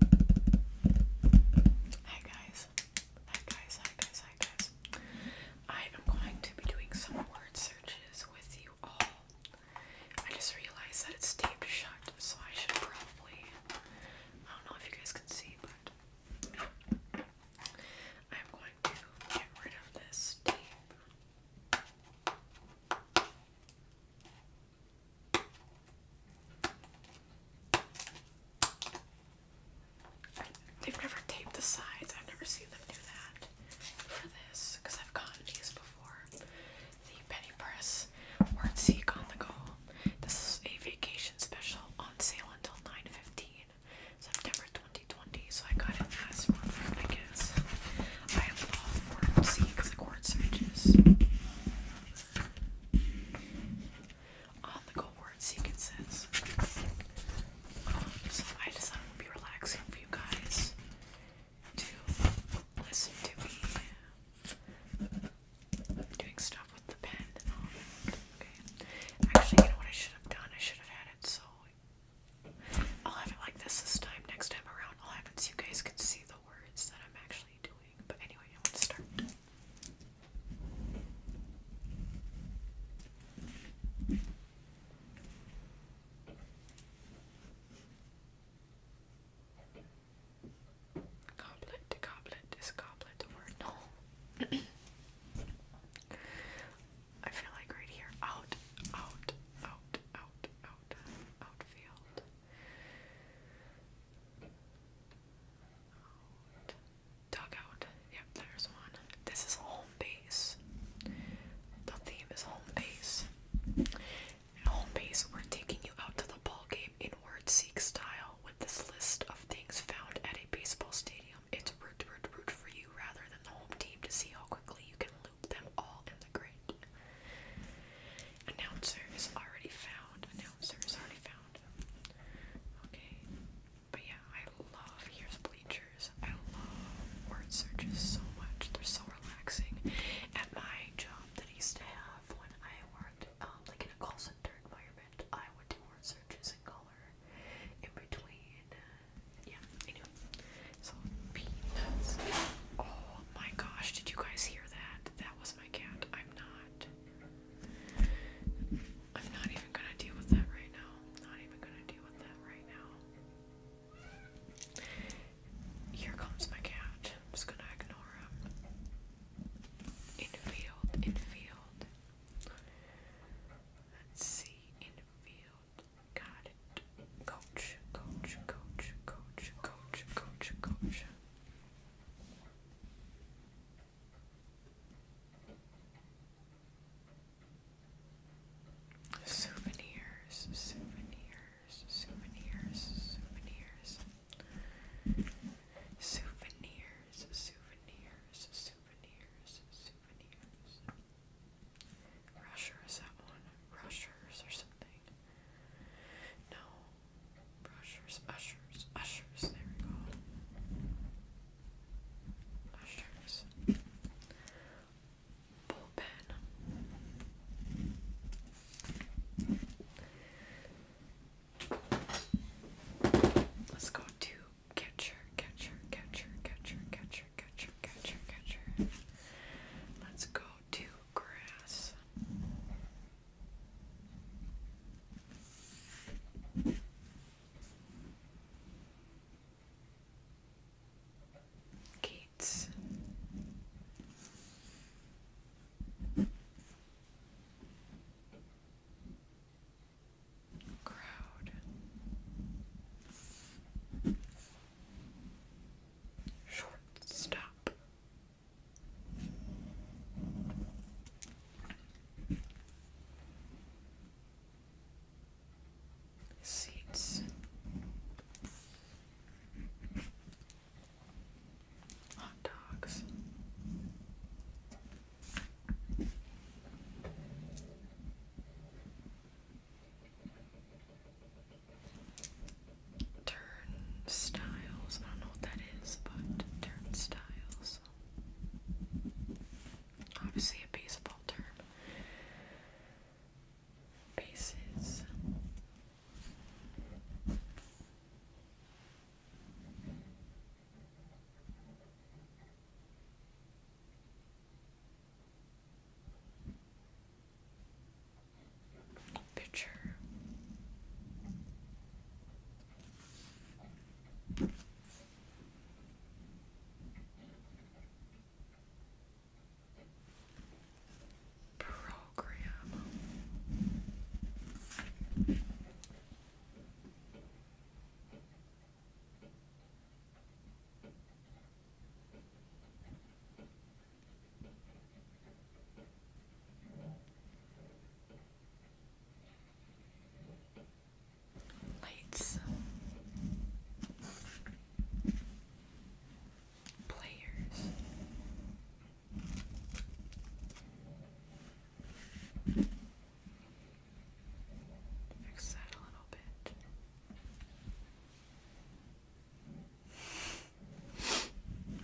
Hi guys. Hi guys, hi guys, hi guys. I am going to be doing some word searches with you all. I just realized that it's taped shut, so I should probably I don't know if you guys can see, but I'm going to get rid of this tape. They've never taped the sides. I've never seen them do that for this because I've gotten these before. The Penny Press Word Seek on the go. This is a vacation special on sale until 9.15 September 2020. So I got it last month. I guess. I love Word Seek, like word searches on the go word sequences. Um, I just thought be relaxing for you guys to listen to me uh, doing stuff with the pen Okay. Actually, you know what I should have done? I should have had it so I'll have it like this this time. Next time around, I'll have it so you guys can see the words that I'm actually doing. But anyway, I want to start. Goblet, goblet, is goblet or no? I feel like right here, out, out, out, out, out, outfield. Dugout. Yep, there's one. This is home base. The theme is home base. home base, we're taking you out to the ball game in word seek style with this list of things found at a baseball stadium. It's root root root for you rather than the home team to see how quickly you can loop them all in the Great. Announcer is already found. Announcer is already found. Okay. But yeah, I love Here's Bleachers. I love word searches so much. They're so relaxing. At my job that I used to have when I worked um, like in a call center environment, I would do word searches in color in between. Uh, yeah, anyway. So peanuts. Oh, Oh my gosh, did you guys hear that? That was my cat. I'm not. I'm not even gonna deal with that right now. Not even gonna deal with that right now. Here comes my cat. I'm just gonna ignore him. In field, in field. see, in field. Got coach, coach, coach, coach, coach, coach, coach. Souvenirs, souvenirs, souvenirs, souvenirs. Souvenirs, souvenirs, souvenirs, souvenirs. Rushers, that one. Rushers or something something. No. Brushers, ushers, ushers, there we go. Ushers. Bullpen. Let's go to catcher, catcher, catcher, catcher, catcher, catcher, catcher, catcher. Let's go to grass. Gates. Crowd. Shortstop. Seats. Hot dogs turnstiles. I don't know what that is, but turnstiles. Obviously, a baseball term. Bases. Picture. Program. Lights, players. Fix that a little bit.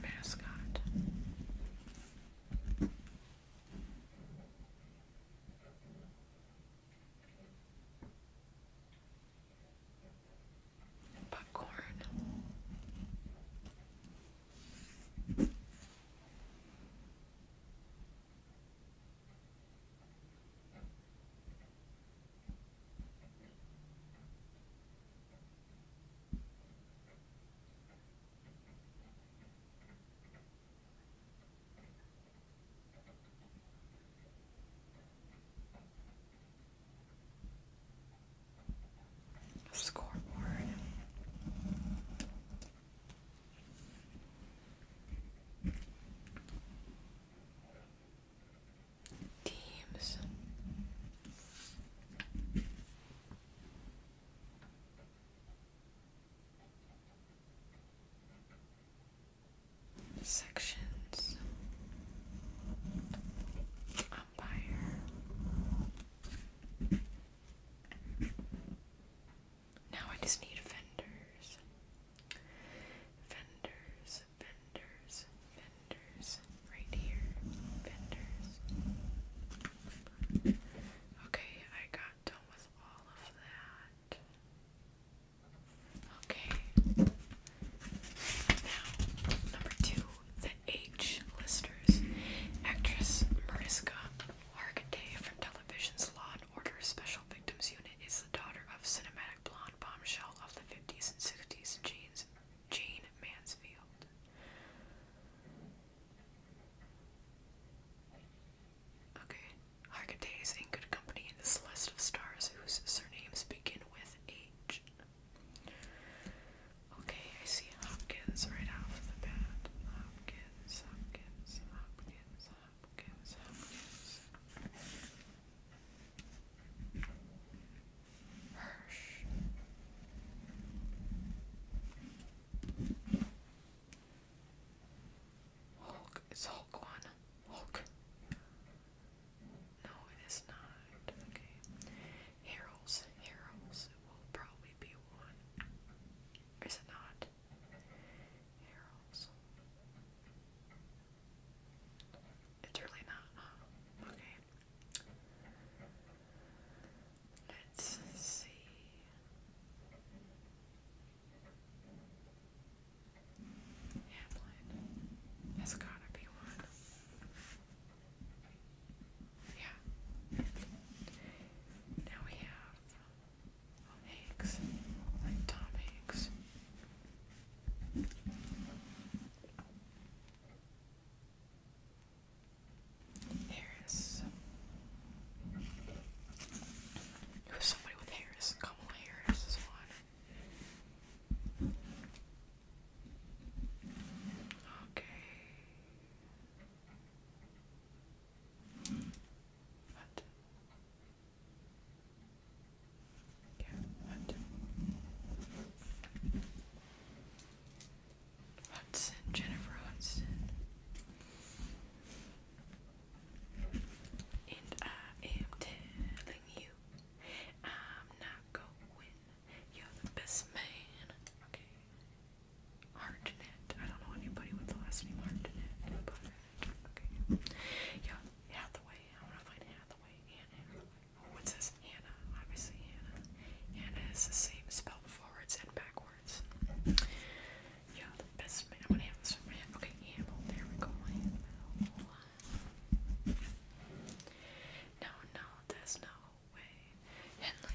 Mascot. Popcorn. Scoreboard teams. Sections umpire now I just need vendors. Vendors, vendors, vendors. Right here. Vendors. Okay, I got done with all of that. Okay. Now, number two, the H listers. Actress Mariska Hargitay from television's Law Order Special Victims Unit is the daughter of cinematic blonde bombshell of the 50s and 60s, Jean's, Jean Mansfield. Okay, Hargate is in good company in this list stars whose surnames begin with H. Okay, I see Hopkins right off the bat. Hopkins, Hopkins, Hopkins, Hopkins, Hulk. It's Hulk one. Hulk. No, it is not. Okay. Harold's. Harold's will probably be one. Is it not? It's really not. Okay. Let's see. Hamlin. That's gotta be one. Yeah. Now we have Hanks, like Tom Hanks. Harris. It somebody with Harris. Come on, Harris Okay. What? Okay, what? Hudson, Jennifer Hudson. And I am telling you, I'm not going. You're the best man. Hartnett. I don't know anybody with the last name Hartnett, okay. Yeah, Hathaway. I want to find Hathaway. Anna. Oh, what's this? Hannah. Obviously, Hannah. Hannah is the same spelled forwards and backwards. Yeah, the best man. I'm gonna have Okay, Hamill. There we go. No, no, there's no way.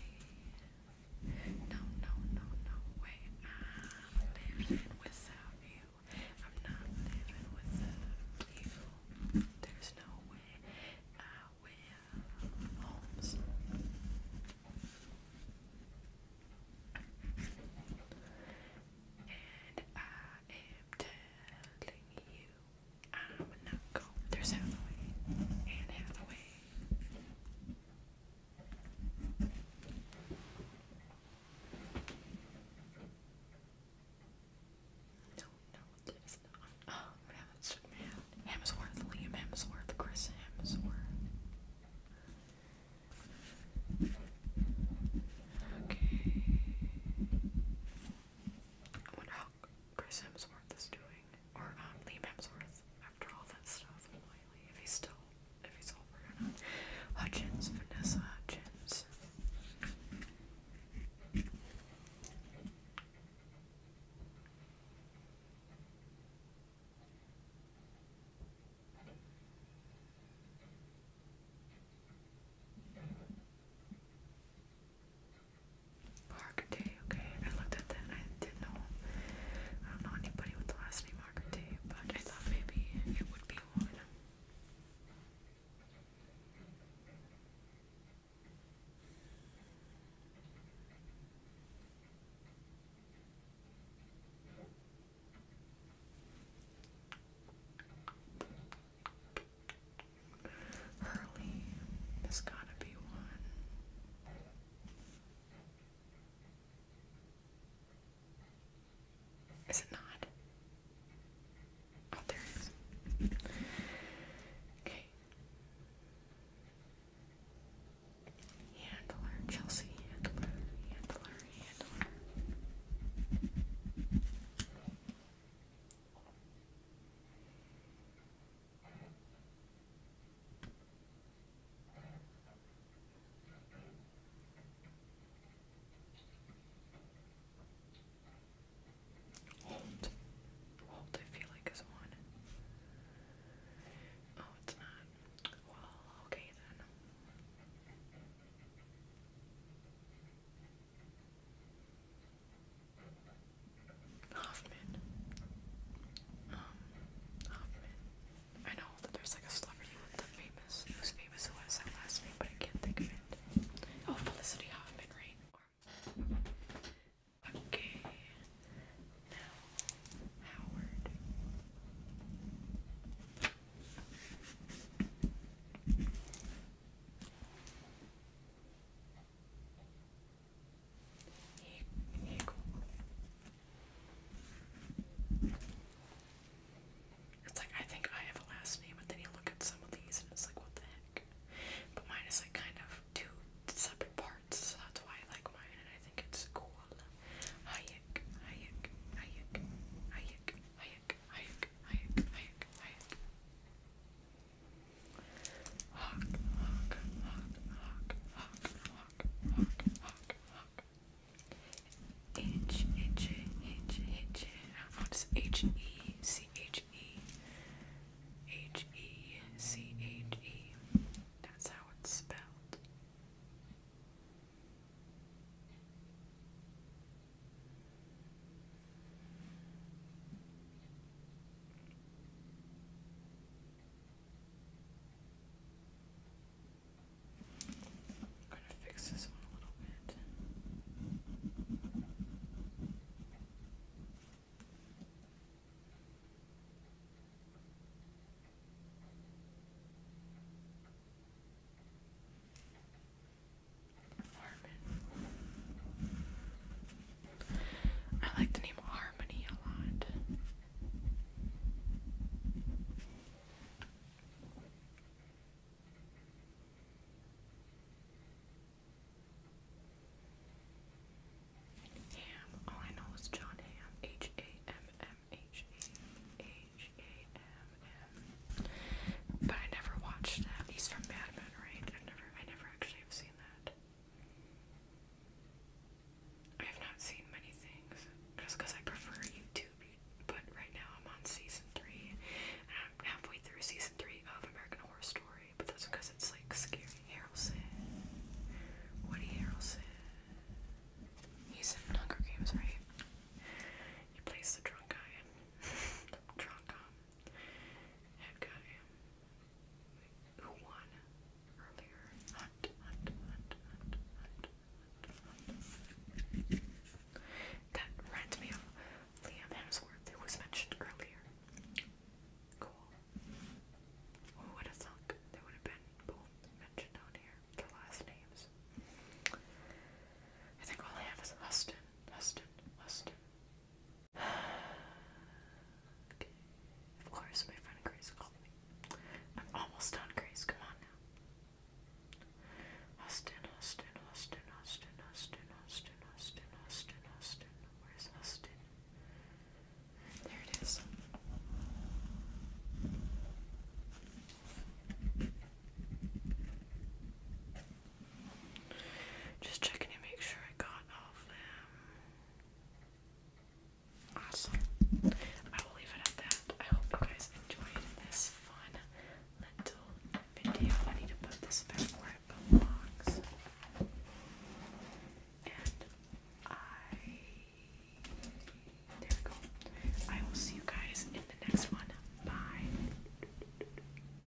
No, no, no, no way. I'm living without you. I'm not living without you. There's no way I will. Holmes. And I am telling you, I'm not going. There's Hathaway. And Hathaway. No, no, it is not. Oh, what happened to man? Hemsworth, Liam Hemsworth, Chris Hemsworth. Okay. I wonder how Chris Hemsworth is doing. Or um, Liam Hemsworth, after all that stuff, if he's still, if he's over or not. Hutchins, Vanessa Hutchins. Park okay. I looked at that I didn't know. I don't know anybody with the last name Arcante, but I thought maybe it would be one. Hurley, there's gotta be one. Is it not? Oh, there Okay. Handler, Chelsea, handler, handler, handler. Hold. Hold, I feel like is one. Oh, it's not. Well, okay then. Hoffman. Um, Hoffman. I know that there's like a celebrity with the famous, who's famous last name, but I can't think of it. Oh, Felicity Hoffman, right? okay. Now, Howard. It's like I think I have a last name, but then you look at some of these and it's like, what the heck? But mine is like kind of two separate parts, so that's why I like mine, and I think it's cool. Hawk, H H H H. What's H E C H E H E C H E? That's how it's spelled. I'm going to fix this one a little bit. Armin. I like the name Harmony a lot. Ham. All I know is John Ham. H A M M H A H A M M. But I never watched that. He's from Mad Men, right? I never, I never actually have seen that. I have not seen many things just because I prefer YouTube, but right now I'm on season three and I'm halfway through season three of American Horror Story, but that's because it's like scary. Harrelson, Woody Harrelson. He's in Hunger Games, right? He plays the drunk guy. The drunk um, Okay. Who won earlier? That reminds me of Liam Hemsworth, who was mentioned earlier. Cool. Who would have thunk they would have been both mentioned on here, their last names? I think all I have is Huston, Huston, Huston, of course, my friend Grace called me. I'm almost done, Grace. Come on now. Austin, Austin, Austin, Austin, Austin, Austin, Austin, Austin, Austin. Where's Austin? There it is. Just checking to make sure I got all of them. Awesome. I will leave it at that. I hope you guys enjoyed this fun little video. I need to put this back where it belongs. And I. There we go. I will see you guys in the next one. Bye.